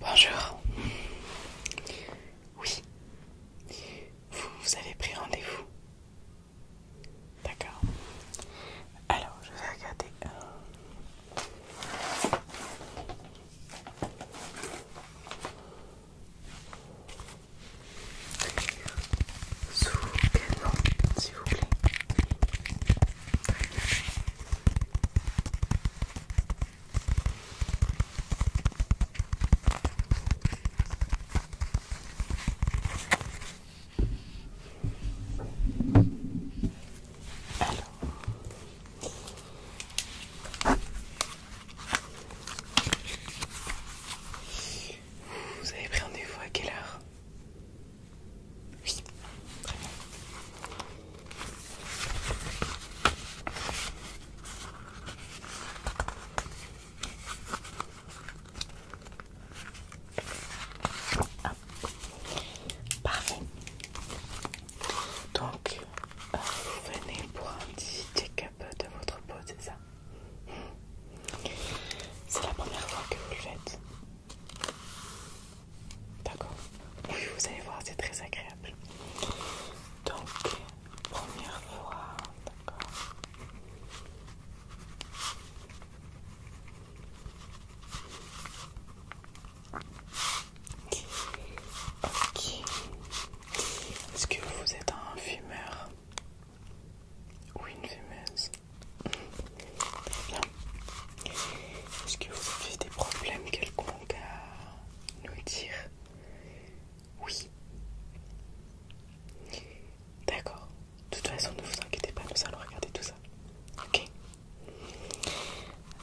Bonjour. Oui. Vous, avez pris rendez-vous. D'accord. Alors, je vais regarder. Euh, sous quel s'il vous plaît Vous avez pris rendez-vous à quelle heure oui, très bien. Parfait. Donc, euh, vous venez pour un petit check-up de votre peau, c'est ça c'est la première fois que vous le faites. D'accord Oui, vous allez voir, c'est très agréable. Donc, première fois, d'accord. Ok. Est-ce que vous êtes un fumeur oui, une fumeuse. Bien. Est-ce que vous avez des problèmes quelconques à nous dire Oui. D'accord. De toute façon, ne vous inquiétez pas, nous allons regarder tout ça. Ok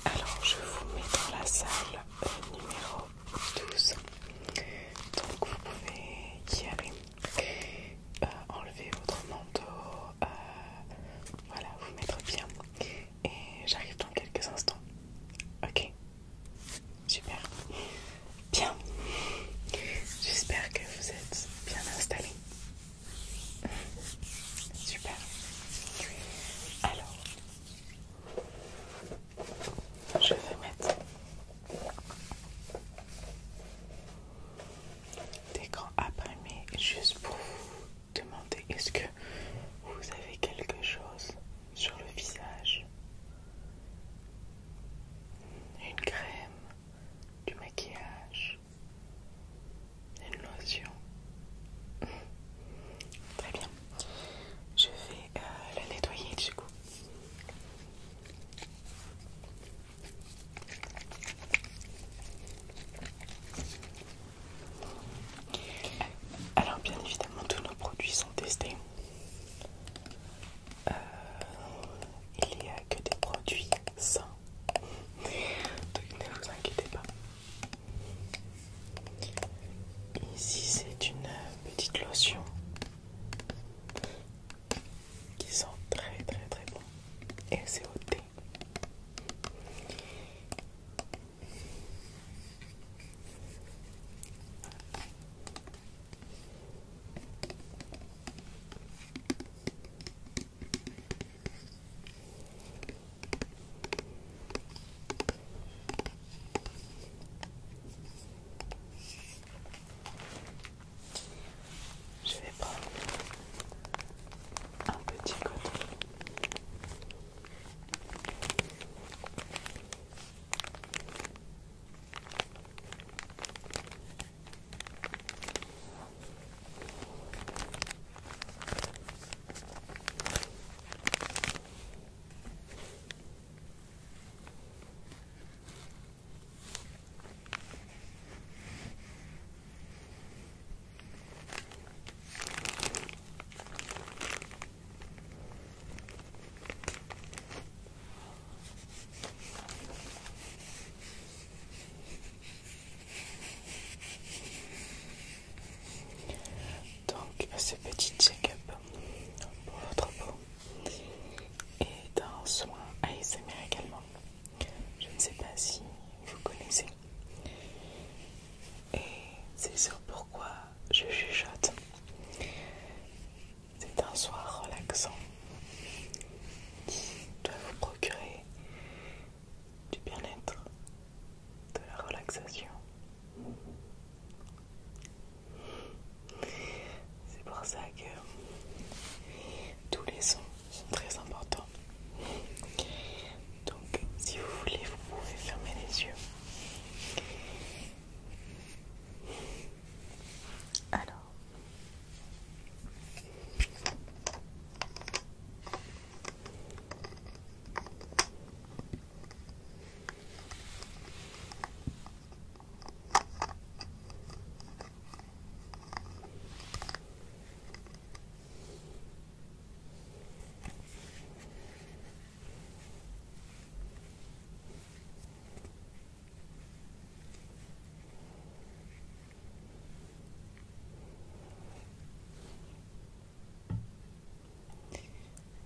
Alors, je vous mets dans la salle numéro 12. Donc, vous pouvez y aller. Ok, euh, enlever votre manteau, euh, voilà, vous mettre bien. Et j'arrive dans quelques instants. Ok Super. Bien. J'espère que vous êtes bien installés. Super. Alors, je vais mettre d'écran imprimé juste pour vous demander est-ce que vous avez quelque chose sur le visage une crème du maquillage une lotion très bien je vais euh, la nettoyer du coup alors bien évidemment tous nos produits sont testés. Euh, il n'y a que des produits sains. Donc ne vous inquiétez pas. Ici c'est une petite lotion qui sont très très très bons et c'est au thé. Je vais prendre un petit coton. Donc, ce petit check-up pour votre peau et d'un soin ASMR également. Je ne sais pas si vous connaissez. Et c'est sur pourquoi je chuchote. C'est un soin relaxant qui doit vous procurer du bien-être, de la relaxation c'est pour ça que tous les sons sont très importants. Donc si vous voulez, vous pouvez fermer les yeux. Alors.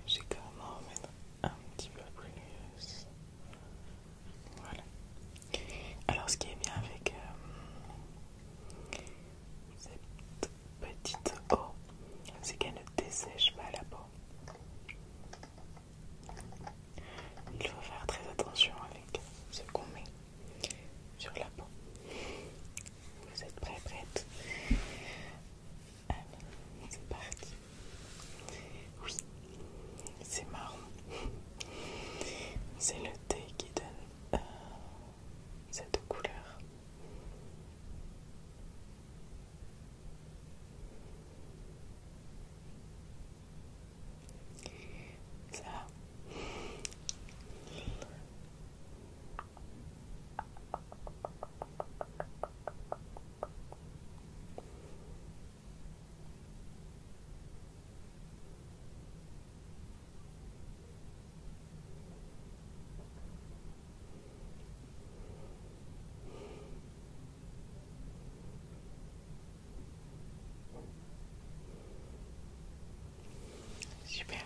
J'ai quand même un petit peu plus Voilà. Alors, ce qui est bien avec euh, cette petite eau, c'est qu'elle ne dessèche pas la peau. Il faut faire très attention avec ce qu'on met sur la peau. Vous êtes prêts, prête Allez, c'est parti. Oui, c'est marron. C'est le thé qui donne euh, cette couleur. Ça Super.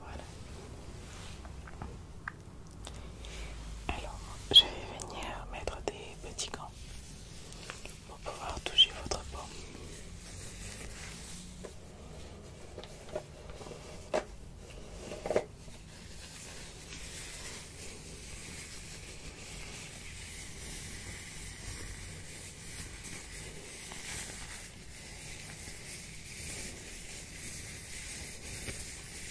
Voilà. Alors, je vais venir mettre des petits gants pour pouvoir toucher votre peau.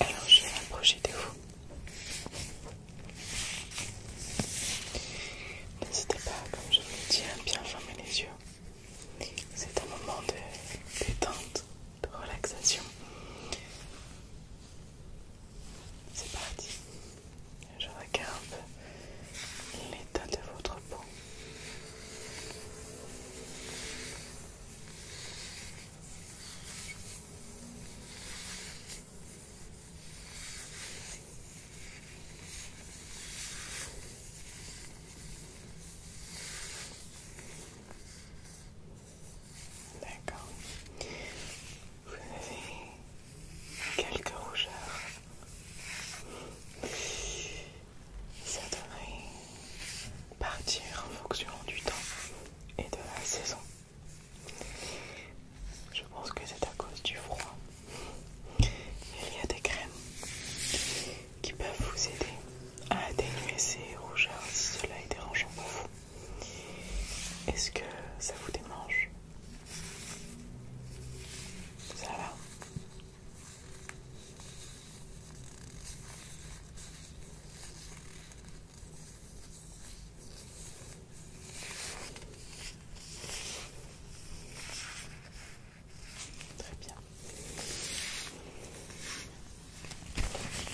Alors je vais m'approcher de vous. N'hésitez pas, comme je vous le dis, à bien fermer les yeux. C'est un moment de détente, de relaxation. C'est parti. Je regarde l'état de votre peau. Votre peau D'accord. Vous avez quelques rougeurs. Ça devrait partir en fonction du temps et de la saison. Je pense que c'est à cause du froid. Il y a des crèmes qui peuvent vous aider à atténuer ces rougeurs si cela est dérangeant pour vous. Est-ce que ça vous démange Ça va Très bien.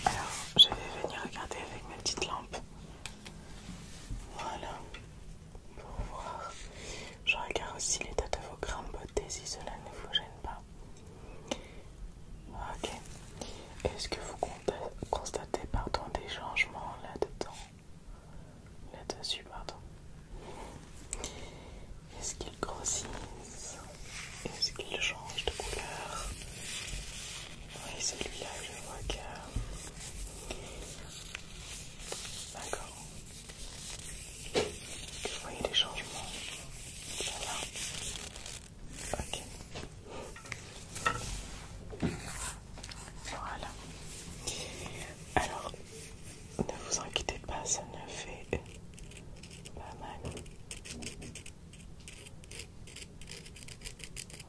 Alors, je vais venir regarder avec ma petite lampe. Voilà. Pour voir. Je regarde aussi l'état de vos grains de si cela ne vous gêne pas. Ok. Est-ce que vous constater pardon, des changements là-dedans. Là-dessus, pardon. Est-ce qu'il grossissent Est-ce qu'il change de couleur Oui, celui-là, je vois que... D'accord. voyez voyez des changements. Voilà. Voilà. Alors, ne vous inquiétez pas, ça ne fait pas mal.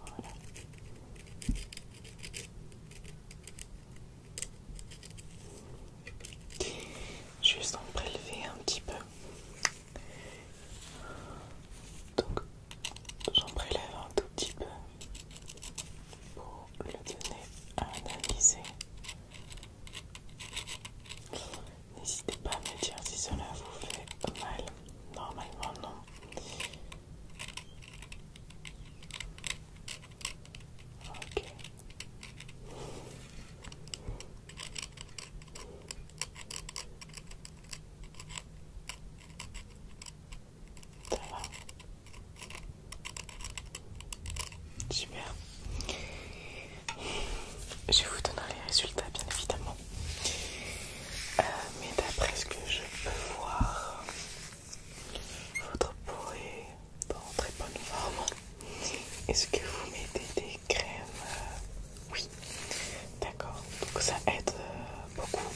Voilà. Juste en prélever un petit peu donc j'en prélève un tout petit peu pour le donner à analyser. N'hésitez pas à me dire si cela vous fait mal. Normalement non. Ok. Super. Je vous donnerai les résultats bien évidemment. Euh, mais d'après ce que je peux voir, votre peau est en très bonne forme. Est-ce que vous mettez des crème, euh, oui, d'accord, donc ça aide euh, beaucoup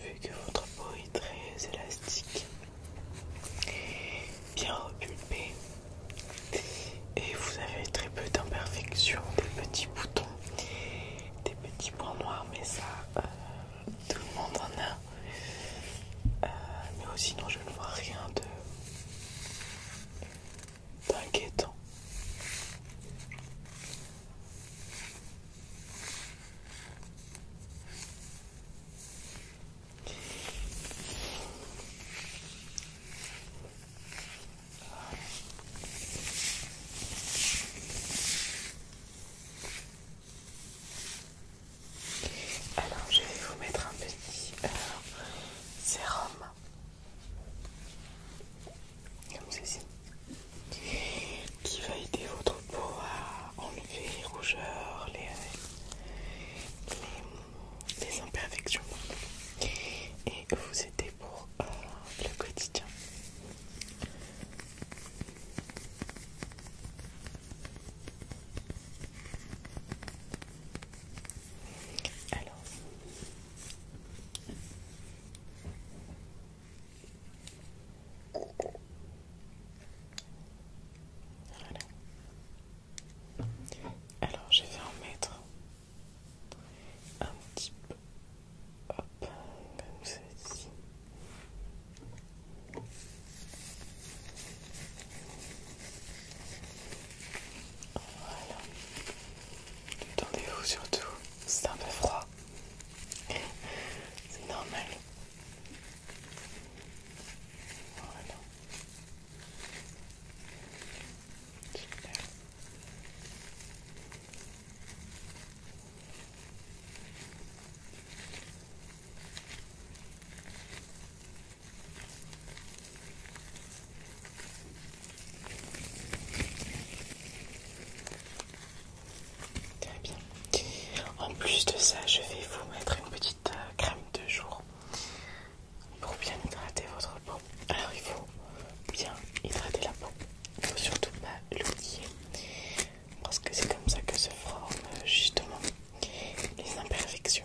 vu que votre peau est très élastique, bien repulpée et vous avez très peu d'imperfections, des petits boutons, des petits points noirs, mais ça, euh, tout le monde en a, mais mais sinon je ne vois rien de d'inquiétant. Alors je vais vous mettre un petit euh, sérum comme ceci. Qui va aider votre peau à enlever les rougeurs, les, imperfections. Et vous aider pour euh, le quotidien. Alors, alors je vais en mettre un petit peu hop, comme ceci. Voilà. vous surtout. C'est un peu froid. C'est normal. Très bien. En plus de ça, je vais vous mettre une petite euh, crème de jour pour bien hydrater votre peau. Alors il faut bien hydrater la peau. Il ne faut surtout pas l'oublier. Parce que c'est comme ça que se forment euh, justement les imperfections.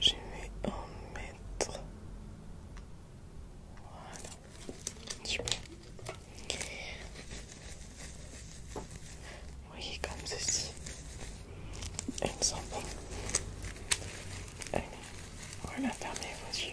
J'ai je vais en mettre. Voilà. Oui, comme ceci. Elle me sent bon. Allez, voilà, vos yeux.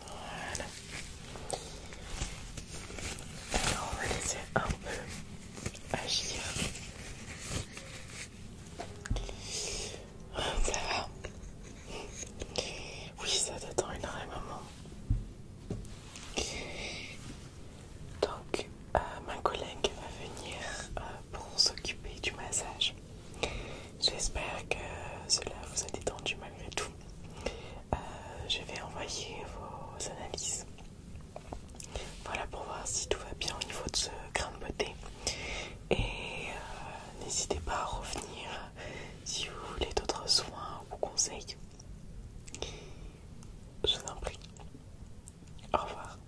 Voilà. Alors on va laisser un peu agir. Ça va Oui, ça t'attend énormément. Donc, euh, ma collègue va venir euh, pour s'occuper du massage. J'espère que cela vous a détendu malgré tout. Euh, je vais envoyer vos analyses. Voilà pour voir si tout va bien au niveau de ce grain de beauté. Et euh, n'hésitez pas à revenir si vous voulez d'autres soins ou conseils. Je vous en prie. Au revoir.